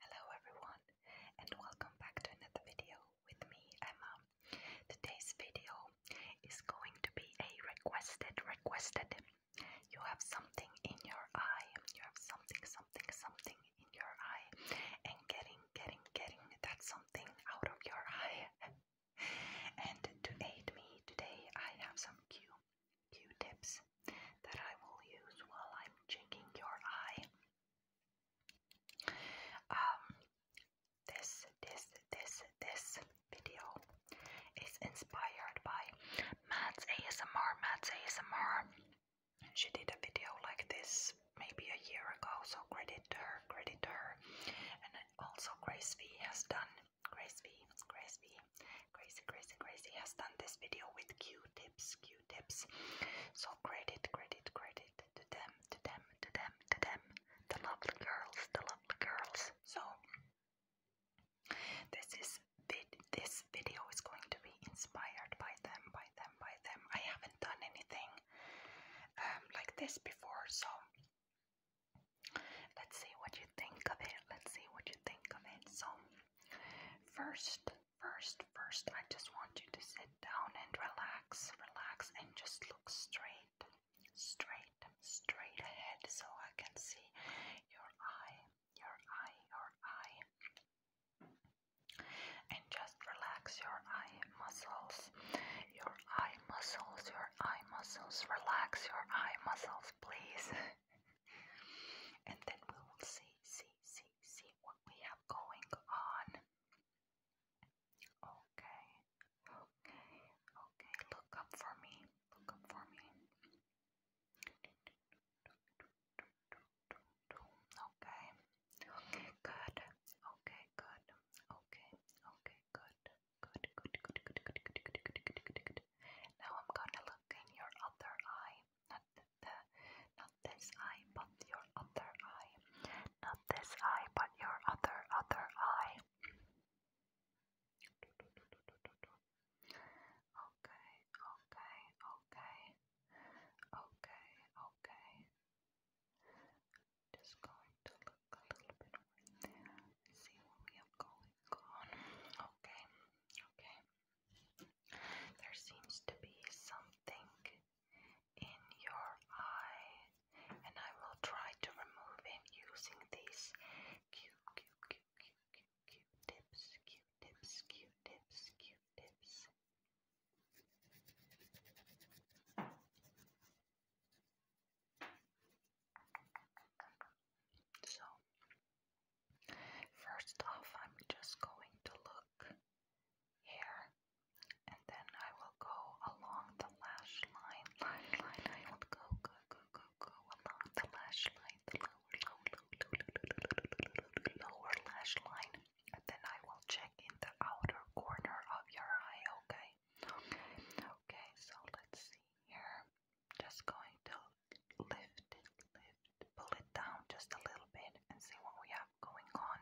Hello everyone and welcome back to another video with me Emma. Today's video is going to be a requested requested. You have something in your eye. You have something something something in your eye and getting getting getting that something out of your eye. and to aid me today I have some Q Q tips that I will use while I'm checking your eye. Um, this, this, this, this video is inspired by Mads ASMR. Mads ASMR. She did a video like this maybe a year ago, so credit her, credit her. And also Grace V has done Grace V, Grace V, Crazy, Crazy, Crazy has done this video with Q-tips, Q tips. So credit, credit, credit to them, to them, to them, to them, the lovely girls, the lovely girls. So this is this video is going to be inspired by them, by them, by them. I haven't done anything um, like this before, so let's see what you think of it. Let's see what you think of it. So first First, first, I just want you to sit down and relax, relax, and just look straight, straight, straight ahead so I can see your eye, your eye, your eye. And just relax your eye muscles, your eye muscles, your eye muscles, relax your eye muscles, please. and then we will see, see, see, see what we have going on. Okay, okay, okay. Look up for me. Look up for me. Okay. good. Okay, good. Okay, okay, good. Good, good, good, good, good, good, good, good, good, good. Now I'm gonna look in your other eye not the, not this eye, but your other eye. Not this eye, but your other other eye. Okay, okay, okay, okay, okay. Just going to look a little bit over see what we have going on. Okay, okay. There seems to be something in your eye, and I will try to remove it using these Q Q Q Q Q tips, Q tips, Q tips, Q tips. So First off, I'm just going to look here, and then I will go along the lash line, line, line. I will go, go, go, go, go along the lash line, the lower, lower, lower, lower lash line, and then I will check in the outer corner of your eye. Okay, okay, okay. So let's see here. Just going to lift it, lift, pull it down just a little bit and see what we have going on.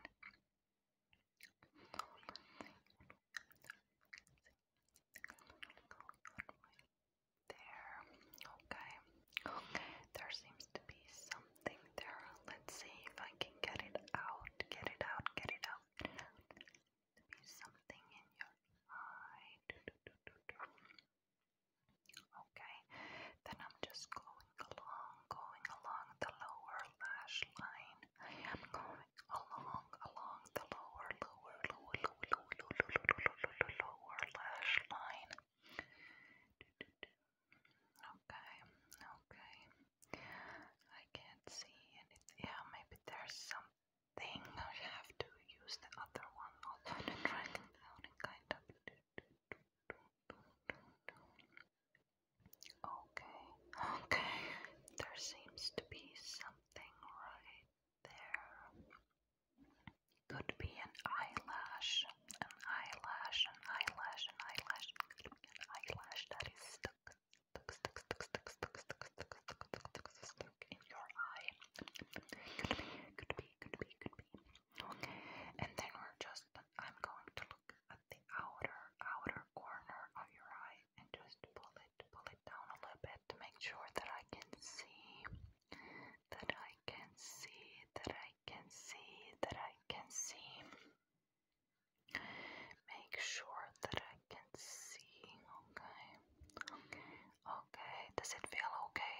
There, okay, okay, there seems to be something there. Let's see if I can get it out, get it out, get it out. There something in your eye. Okay, then I'm just going along, going along the lower lash line. I am going along, along the lower, lower, lower, lower, lower, lower, lower, lower, lower lash line. Okay, okay. I can't see anything. Yeah, maybe there's something. I have to use the other one also to drag kind of Okay, okay, there seems to be something right there. Could be an eyelash, an eyelash, an eyelash, an eyelash, an eyelash that is stuck, stuck, stuck, stuck, stuck, stuck, stuck, stuck, stuck, stuck, stuck, stuck in your eye. Could be, could be, could be. And then we're just, I'm going to look at the outer, outer corner of your eye and just pull it, pull it down a little bit to make sure that I can see, that I can see, that I can see, that I can see. Make sure that I can see, Okay, okay, does it feel okay?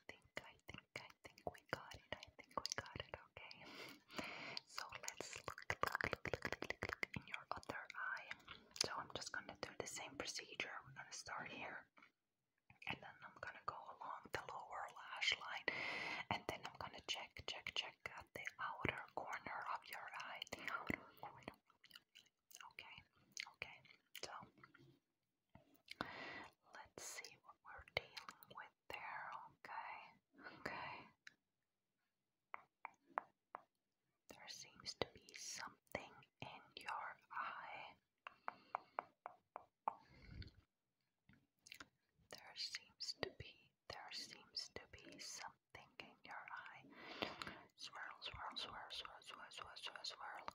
I think, I think, I think we got it. I think we got it, okay? So let's look, look, look, look, look, look in your other eye. So I'm just gonna do the same procedure. We're gonna start here. And then I'm gonna go along the lower lash line, and then I'm gonna check, check, check at the outer corner of your eye. Okay, okay. So Let's see what we're dealing with there, okay? Okay. There seems to be something in your eye. There seems to be, there seems to be something in your eye. Swirl, swirl, swirl, swirl, swirl, swirl, swirl, swirl.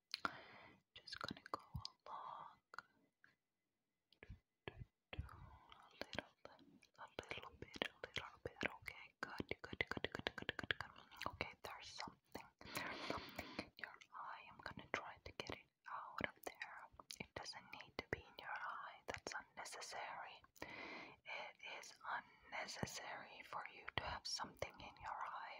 Just gonna go along a little, a little bit, a little bit. Okay, good, good, good, good, good, good, good. Okay, there's something, I'm gonna try to get it out of there. It doesn't need to be in your eye. That's unnecessary. It is unnecessary for you to have something in your eye.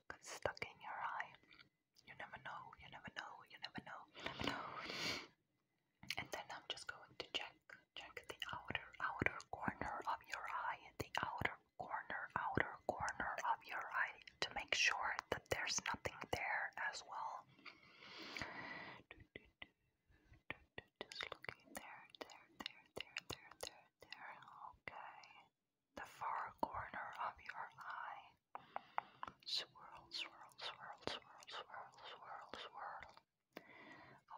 stuck stuck in your eye. You never know, you never know, you never know, you never know. And then I'm just going to check check the outer outer corner of your eye, the outer corner, outer corner of your eye to make sure that there's nothing there as well. Just looking there, there, there, there, there, there, there. Okay the far corner of your eye. Swirl, swirl, swirl, swirl, swirl, swirl, swirl.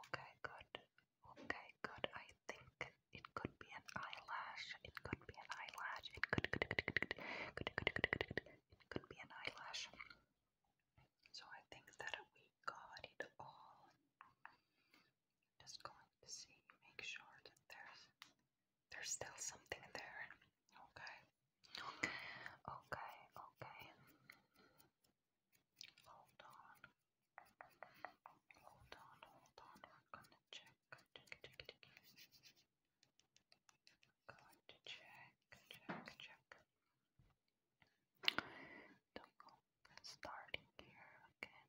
Okay, good. Okay, good. I think it could be an eyelash. It could be an eyelash. It could, could, could, could, could, could, could, could be an eyelash. So I think that we got it all. Just going to see, make sure that there's there's still something there. Okay. Okay. Okay. Hold on. Hold on. Hold on. We're gonna check. Check. Check. Check. We're going to check. Check. Check. check we check check check do not go. Starting here. Okay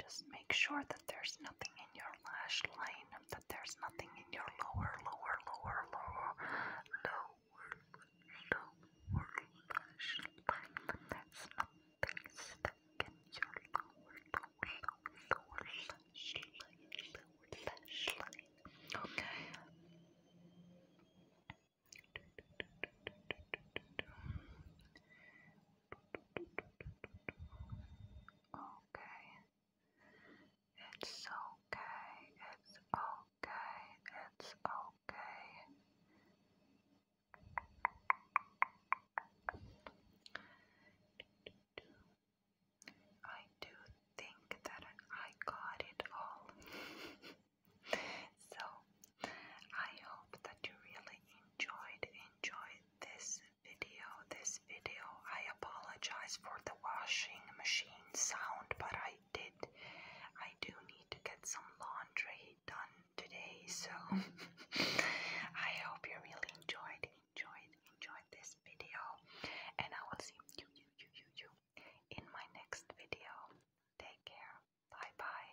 just make sure that there's nothing in your lash line, that there's nothing in your lower, lower, lower, lower, lower, lower lash line. There's nothing stuck in your lower, lower, lower lash line. Okay. Okay. It's okay. It's okay. It's okay. I do think that I got it all. so I hope that you really enjoyed enjoyed this video. This video. I apologize for the washing machine sound, but I did. I do need to get some laundry done today, so I hope you really enjoyed enjoyed enjoyed this video, and I will see you you you you you in my next video. Take care. Bye bye.